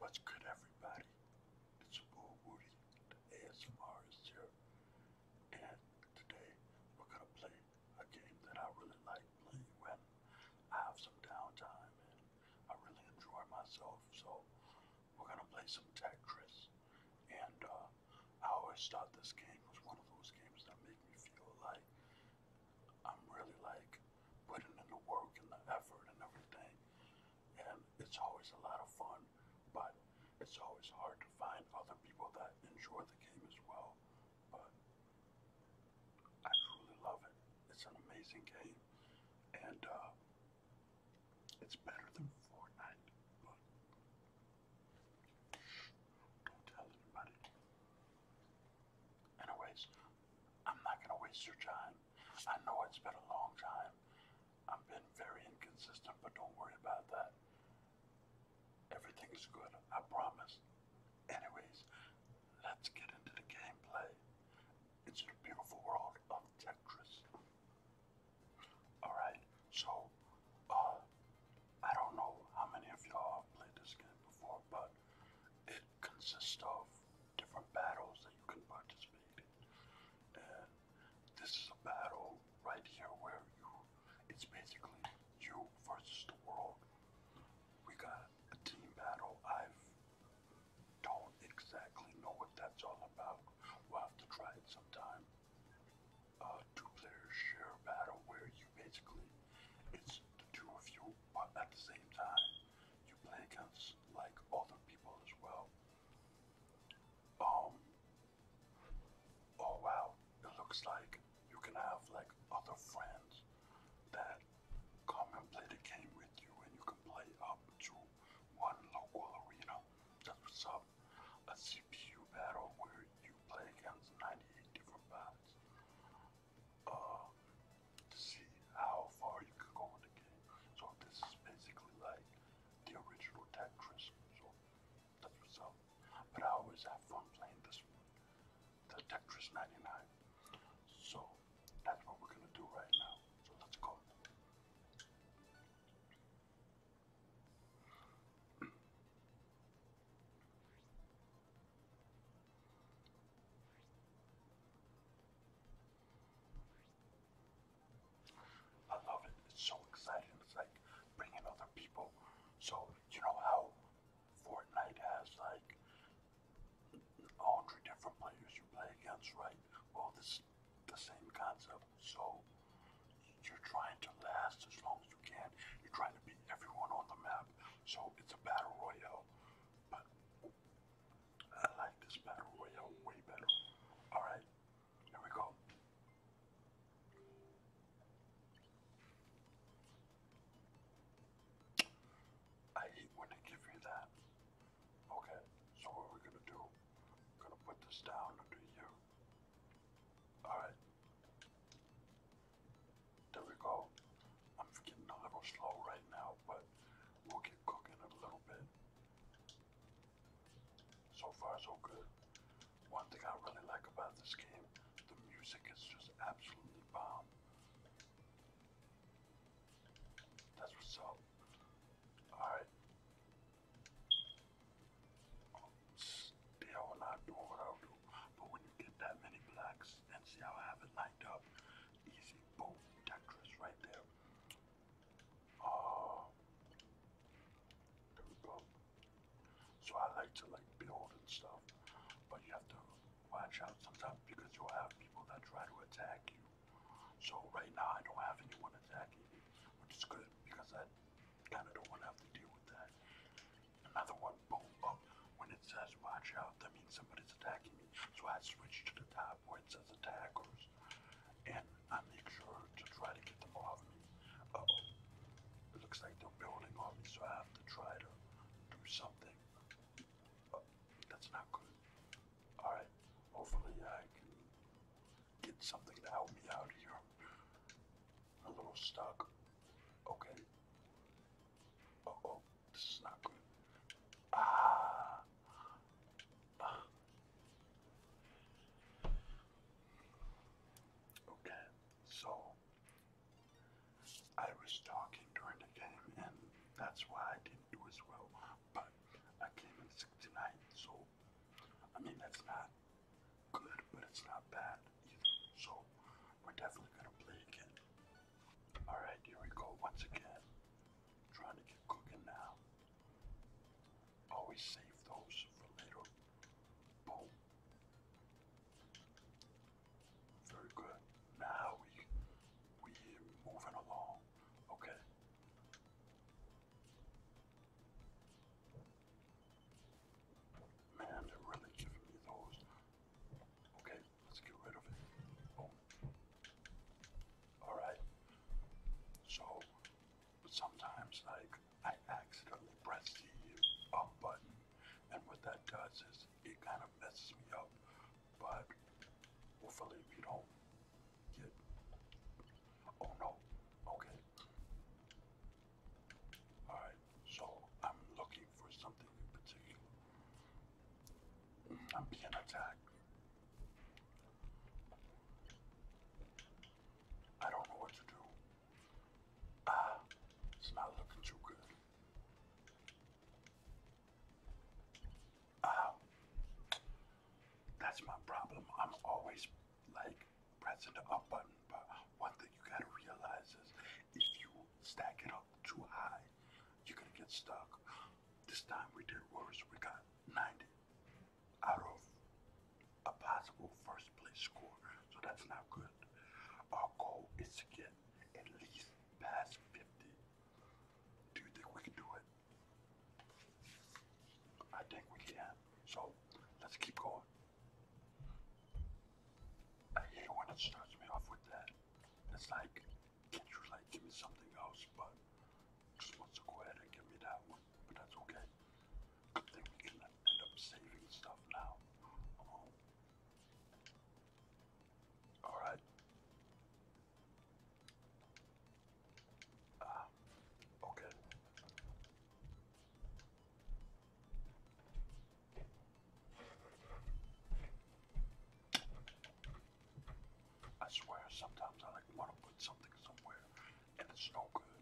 What's good, everybody? It's Bull the ASMR and today we're gonna play a game that I really like playing when I have some downtime I really enjoy myself. So we're gonna play some Tetris. And uh, I always thought this game was one of those games that make me feel like I'm really like putting in the work and the effort and everything and it's always a lot of fun, but it's always hard to find other people that enjoy the game as well. But I truly love it. It's an amazing game, and uh, it's better than Fortnite. But don't tell anybody. Anyways, I'm not gonna waste your time. I know it's been a long time, I've been very inconsistent, but don't worry about that. Everything's good, I promise. Anyways, let's get into the gameplay. It's the beautiful world of Tetris. Alright, so, uh, I don't know how many of y'all played this game before, but it consists of different battles that you can participate in. This is a battle right here where you, it's basically you versus the world. We got a team battle. I don't exactly know what that's all about. We'll have to try it sometime. two players share battle where you basically, it's the two of you, but at the same time, you play against like other people as well. Um, Oh wow, it looks like you can have like other friends that come and play the game with you and you can play up to one local arena. That's what's up. A CPU battle where you play against 98 different bots uh, to see how far you can go in the game. So this is basically like the original Tetris, so that's what's But I always have fun playing this one, Tetris 99. So that's what we're gonna do right now. So let's go. I love it. It's so exciting. It's like bringing other people. So, you know how Fortnite has like all hundred different players you play against, right? Well, this the same concept. So, you're trying to last as long as you can. You're trying to beat everyone on the map. So, it's a battle royale. But I like this battle royale way better. Alright, there we go. I hate when they give you that. Okay, so what we gonna do, gonna put this down under you. Alright. There we go. I'm getting a little slow right now, but we'll get cooking a little bit. So far, so good. One thing I really like about this game, the music is just absolutely bomb. That's what's up. Alright. Still not doing what i do. But when you get that many blacks and see how I have it lined up, easy, boom, Tetris right there uh, So I like to like build and stuff, but you have to watch out sometimes because you'll have people that try to attack you. So right now I don't have anyone attacking me, which is good because I kind of don't want to deal with that. Another one, boom, up. When it says watch out, that means somebody's attacking me. So I switch to the top points as attackers, and I make sure to try to get them off me. oh, looks like they're building on so I have to try to do something. Uh, that's not good. Alright, hopefully I can get something to help me out here. I'm a little stuck. Okay. oh, this is not good. Ah! Okay, so I was talking during the game, and that's why I didn't do as well. But I came in 69, so I mean, that's not good, but it's not bad either. So we're definitely gonna play again. Alright, here we go once again. trying to get cooking now. Always save those for later. Boom. Very good. Now we we moving along. Okay. Man, they're really giving me those. Okay, let's get rid of it. Boom. Alright. So but sometimes, like, I accidentally press the up button, and what that does is it kind of messes me up. But hopefully, we don't get. Oh no, okay. Alright, so I'm looking for something in particular. I'm being attacked. I don't know what to do. Ah, it's not looking too good. Ah, that's my problem. I'm always like pressing the up button, but one thing you gotta realize is if you stack it up too high, you're gonna get stuck. This time we did worse. We got 90 out of a possible first place score, so that's not good. Our goal is to get at least past 50. Do you think we can do it? I think we can. So let's keep going. I hate when it starts me off with that. It's like, can you like give me something else? But just wants to go ahead and give me that one, but that's okay. Good thing we can end up saving stuff now. Uh-huh. Alright. Ah, okay. I swear, sometimes I like want to put something somewhere, and it's no good.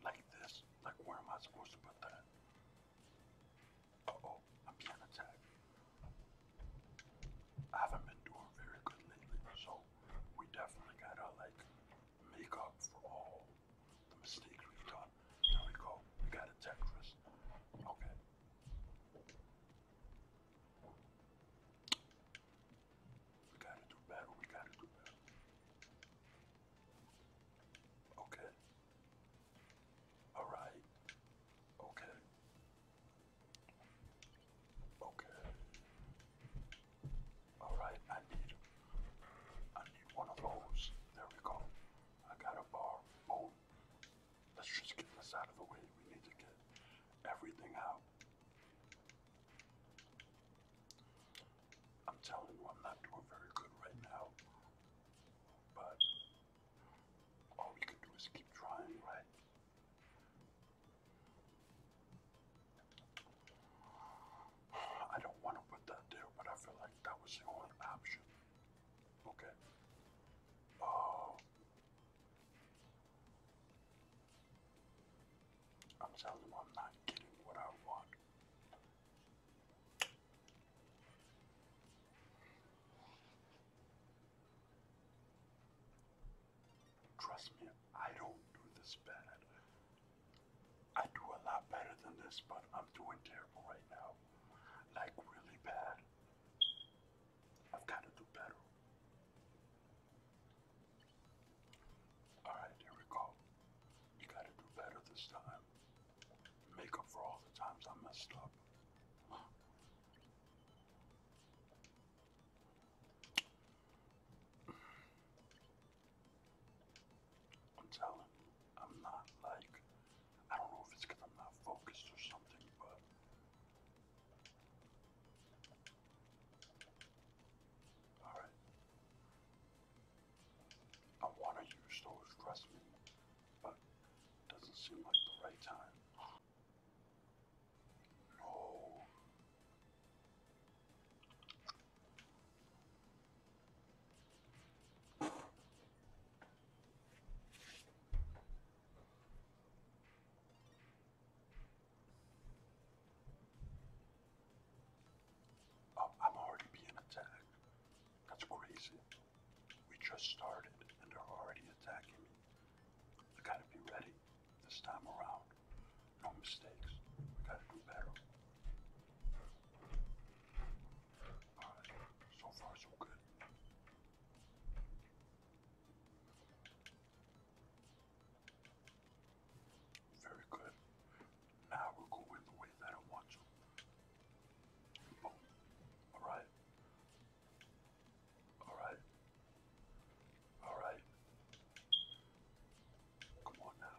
Like this. Like where am I supposed to put that? oh, I'm being I haven't been doing very good lately, so we definitely gotta like make up for all the mistakes we've done. There we go. We got a Tetris. Okay. We gotta do better, we gotta do better. Okay. Alright. Okay. Okay. Alright, I need I need one of those. There we go. I got a bar. Oh. Let's just get this out of the way. We need to get everything out. I'm telling you, I'm not doing very good right now. But all we can do is keep trying, right? I don't want to put that there, but I feel like that was the only option. Okay. Oh, I'm telling them I'm not getting what I want. Trust me, I don't do this bad. I do a lot better than this, but I'm doing terrible right now. Like, really bad. I've got to do better. Alright, here we go. You gotta do better this time. Make up for all the times I messed up. I'm telling I'm not like, I don't know if it's I'm not focused or something, but Alright. I want to use those dressmen, but doesn't seem like the right time. No. Oh, I'm already being attacked. That's crazy. We just started and they're already attacking me. I gotta be ready this time around. No mistakes. We gotta do better. so far so good. Very good. Now we're going the way that I want you. Oh, Alright. Alright. Alright. Come on now.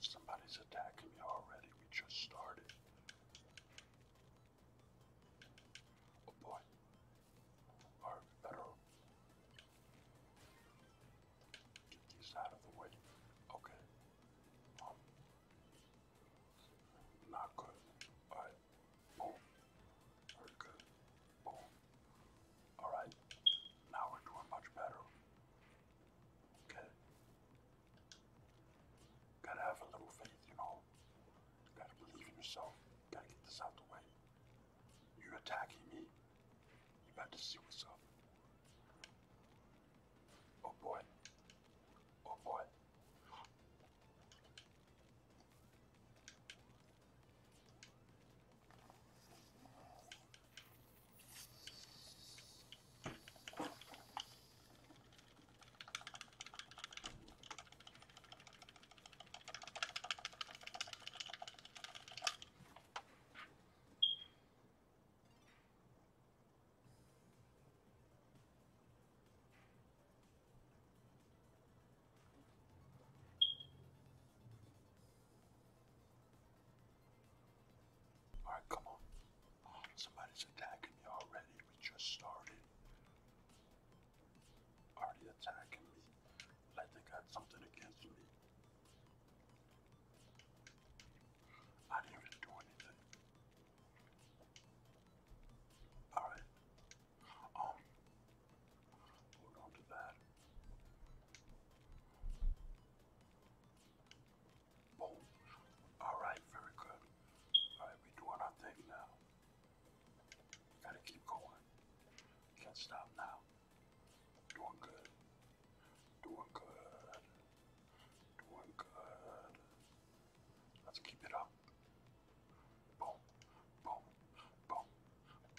Somebody's attacking me already. We just started. Oh boy. Alright, we better get these out of the way. Okay. Um, not good. Alright. Boom. good. Boom. Alright. Now we're doing much better. Okay. Gotta have a little faith, you know. You gotta believe in yourself. You gotta get this out the way. You're attacking me. You better see what's up. Oh boy. Oh boy. Alright, come on. Somebody's attacking me already. We just started already attacking me like they got something against me. I didn't do anything. Alright. Um hold on to that. Boom. Alright, very good. Alright, we doing our thing now. Gotta keep going. Can't stop now. Doing good. Doing good. Doing good. Let's keep it up. Boom, boom, boom,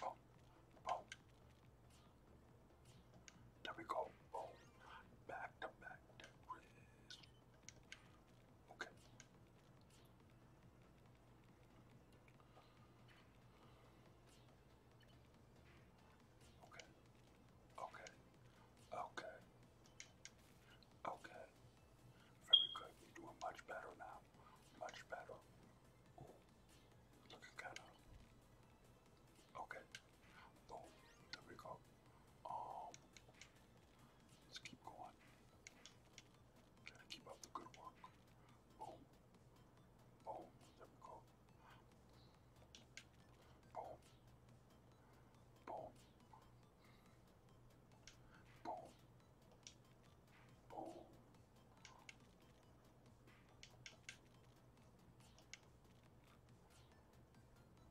boom, boom. There we go. Boom. Back to back Okay. Okay. Okay. Okay. Okay. Very good. You're much better now. Much better. Looking kind Okay. Boom. There we go. Um. Let's keep going. Trying to keep up the good work. Boom. Boom. There we go. Boom. Boom. Boom. Boom.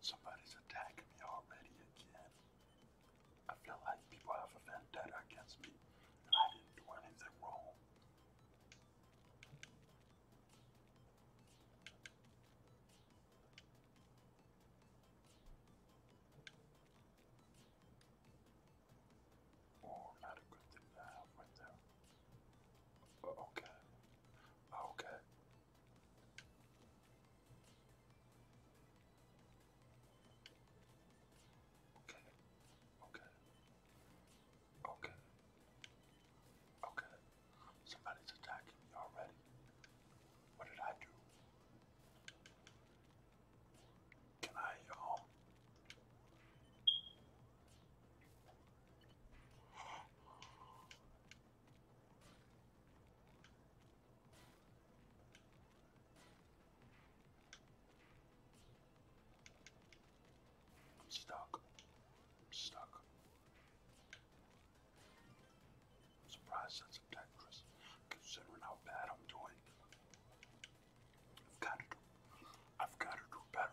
Somebody's attacking me already again. I feel like people have vendetta against me I didn't do anything wrong. Oh, not a good thing to have right there. Oh, okay. Oh, okay. Okay. Okay. Okay. Okay. Somebody's attacking me already. What did I do? Can I um I'm stuck. I'm stuck. I'm surprised that's a Tetris, considering how bad I'm doing. I've got to do. I've got to do better.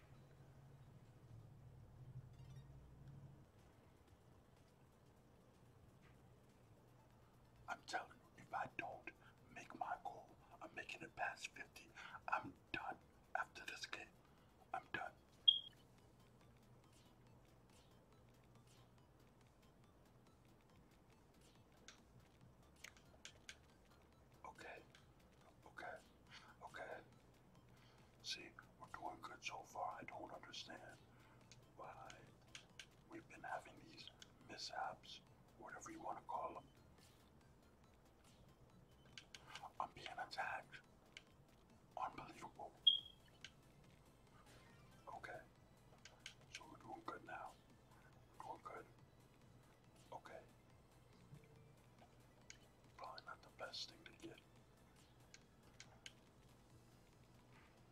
I'm telling you, if I don't make my goal, I'm making it past 50. I'm done after this game. I'm done. Okay. Okay. Okay. See, we're doing good so far. I don't understand why we've been having these mishaps, whatever you want to call them. I'm being attacked. Unbelievable. Okay. So we're doing good now. doing good. Okay. Probably not the best thing to get.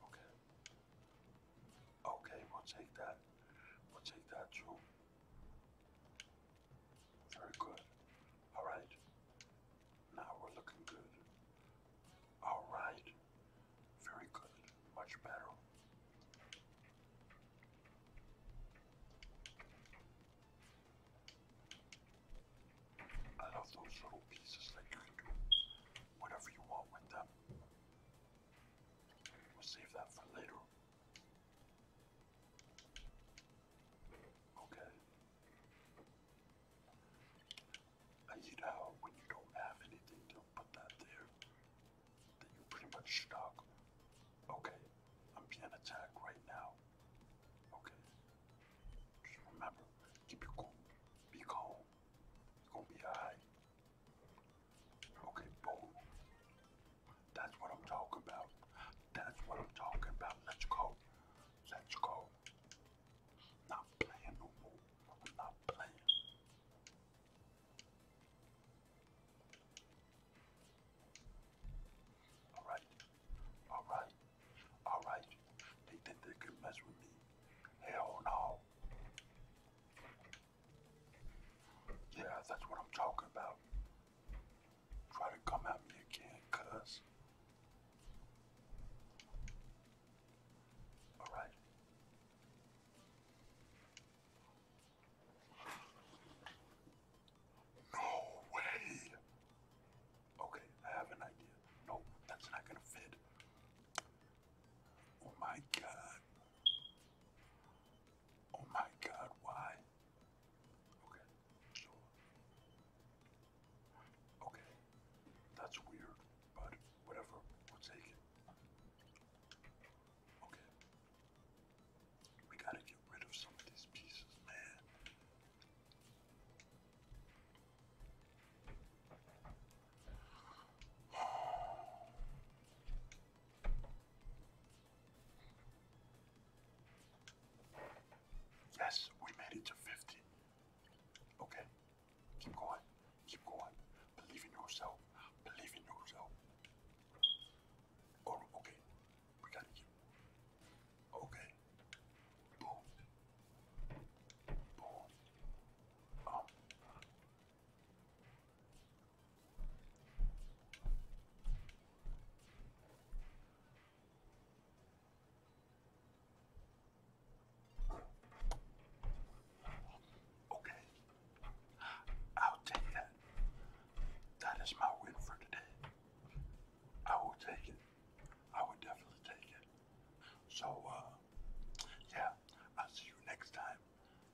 Okay. Okay, we'll take that. We'll take that, Drew. Very good. All right. Now we're looking good. All right. Very good. Much better. I love those little pieces that you can do whatever you want with them. We'll save that for later. Okay. I hate how when you don't have anything to put that there, that you're pretty much stuck. Okay, I'm being attacked right now. Okay. Just remember, keep your cool. Be calm. It's gonna be alright. Okay, boom. That's what I'm talking about. That's what I'm talking about. Let's go. Let's go. Not playing no not playing. Alright. Alright. Alright. They think they can mess with me. Hell no. Yeah, that's what I'm talking about. Try to come at me again, Alright. No way. Okay, I have an idea. No, that's not gonna fit. Oh my god. Oh my god, why? Okay, sure. Okay, that's weird, but whatever, we'll take it. Okay. We gotta get rid of some of these pieces, man. Yes, we made it to 50. Okay, keep going, keep going. Believe in yourself, believe in yourself. okay, Okay. Boom. Boom. Oh. Okay. I'll take that. That is my win for today. I will take it. I would definitely take it. So, uh, yeah, I'll see you next time.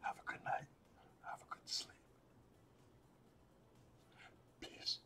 Have a good night. Have a good sleep. Peace.